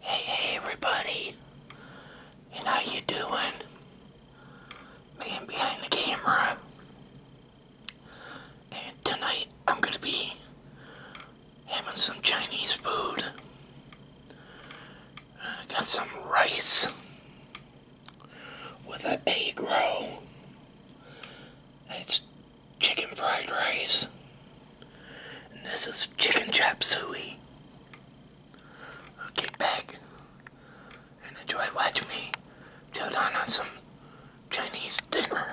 Hey, everybody, and how you doing? Man behind the camera, and tonight I'm gonna be having some Chinese food. I got some rice with an egg roll. It's chicken fried rice. And this is chicken chop suey. get back and enjoy watching me chow down on some Chinese dinner.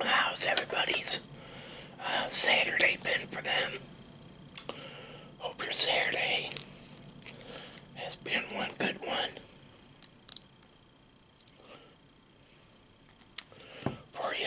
How's everybody's uh, Saturday been for them? Hope your Saturday has been one good one for you.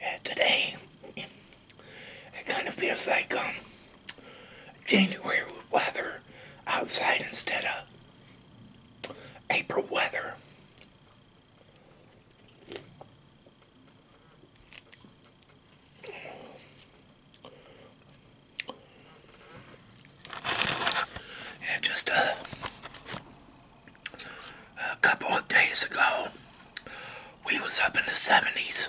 Yeah, today, it kind of feels like, um, January weather outside instead of April weather. Yeah, just a couple of days ago, we was up in the 70s.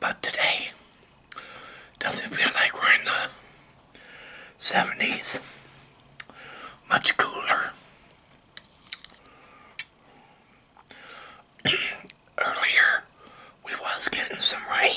But today, doesn't feel like we're in the 70s. Much cooler. Earlier, we was getting some rain.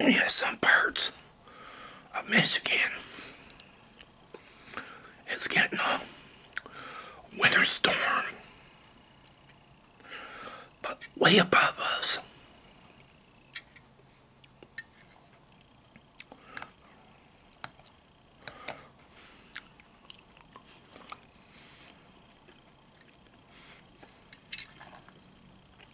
Yeah, some parts of Michigan, is getting a winter storm. But way above us.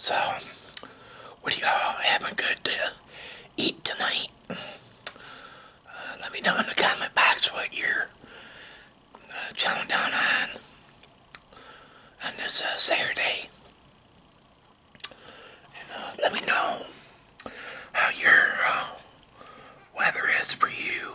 So, what do y'all having good to eat tonight? Uh, let me know in the comment box what you're uh, channel down on on this Saturday. And uh, let me know how your uh, weather is for you.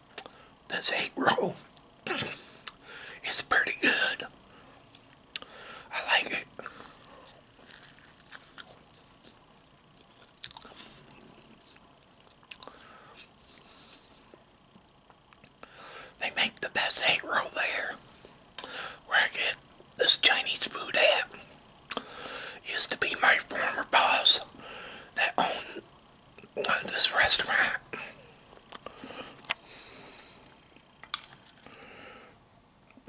this eight roll it's pretty good. I like it. They make the best egg roll there. Where I get this Chinese food at. Used to be my former boss that owned this restaurant.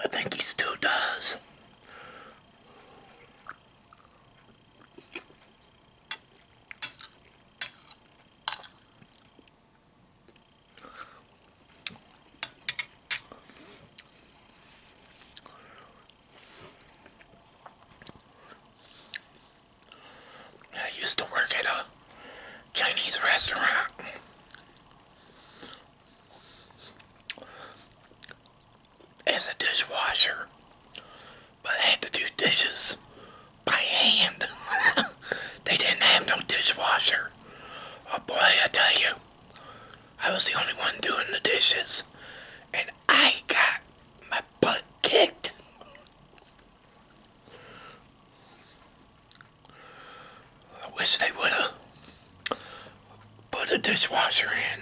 I think he still does. I used to work at a Chinese restaurant. As a dishwasher, but I had to do dishes by hand. they didn't have no dishwasher. Oh boy, I tell you, I was the only one doing the dishes, and I got my butt kicked. I wish they would have put a dishwasher in.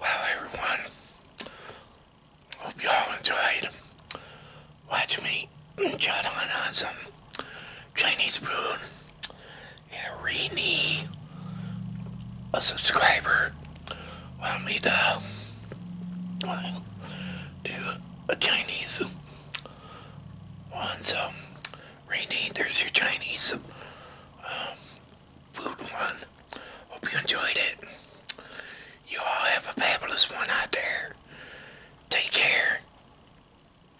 Wow, everyone, hope you all enjoyed watching me chat on, on some Chinese food and re a subscriber want me to do a Chinese one. So, Rainy, there's your Chinese um, food one. Hope you enjoyed it. You all have a fabulous one out there. Take care.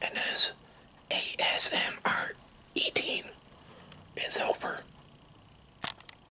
And as ASMR eating is over.